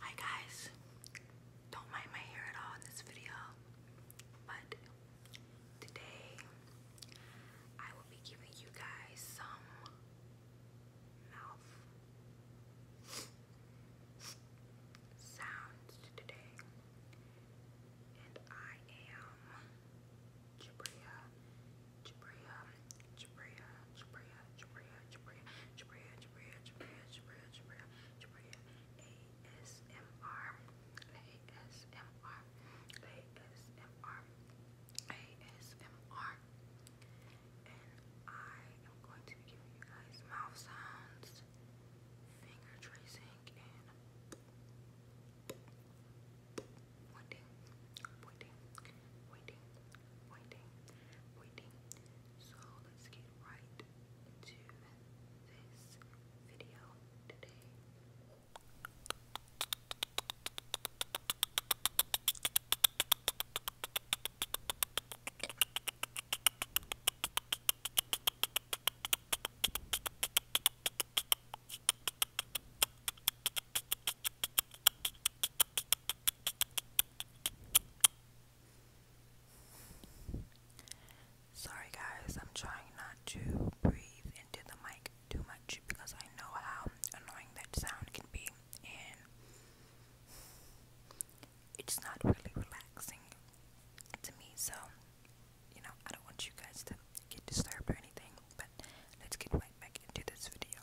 Hi guys, don't mind my hair at all in this video, but today I will be giving you guys some mouth sounds today, and I am Jabria, Jabria, Jabria, ASMR, ASMR, ASMR, ASMR, I am going to give you guys mouth sounds, finger tracing, and waiting, waiting, So let's get right into this video today. Sorry, guys, I'm trying not to breathe into the mic too much because I know how annoying that sound can be, and it's not really relaxing to me. So, you know, I don't want you guys to get disturbed or anything, but let's get right back into this video.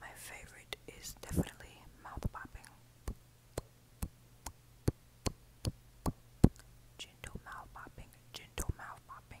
My favorite is definitely mouth popping. Gentle mouth popping, gentle mouth popping.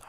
La, la,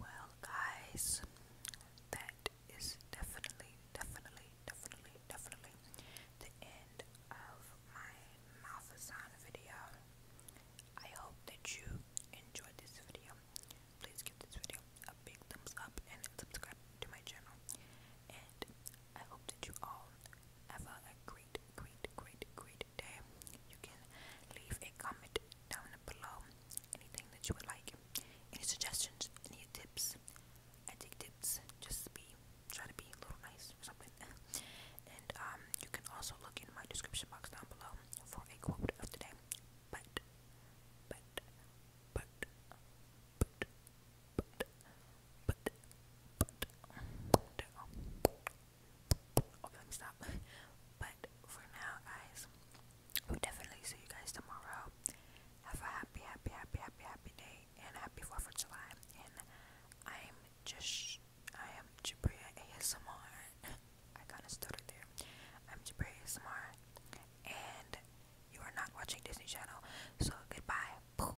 Well, guys, that is definitely, definitely, definitely, definitely the end of my Malfasan video. I hope that you enjoyed this video. Please give this video a big thumbs up and subscribe to my channel and I hope that you all have a great, great, great, great day. You can leave a comment down below, anything that you would like, any suggestions, any tips. I tips, just be try to be a little nice or something. and um, you can also look in my description box down below for a quote of the day. But, but, but, but but, but, but, okay, let me stop, but for now, guys, we'll definitely see you guys tomorrow, have a happy, happy, happy, happy, happy day, and happy 4th of July, and I'm just, I am Jabria ASMR, I kinda stuttered there, I'm Jabria ASMR, and you are not watching Disney Channel, so goodbye,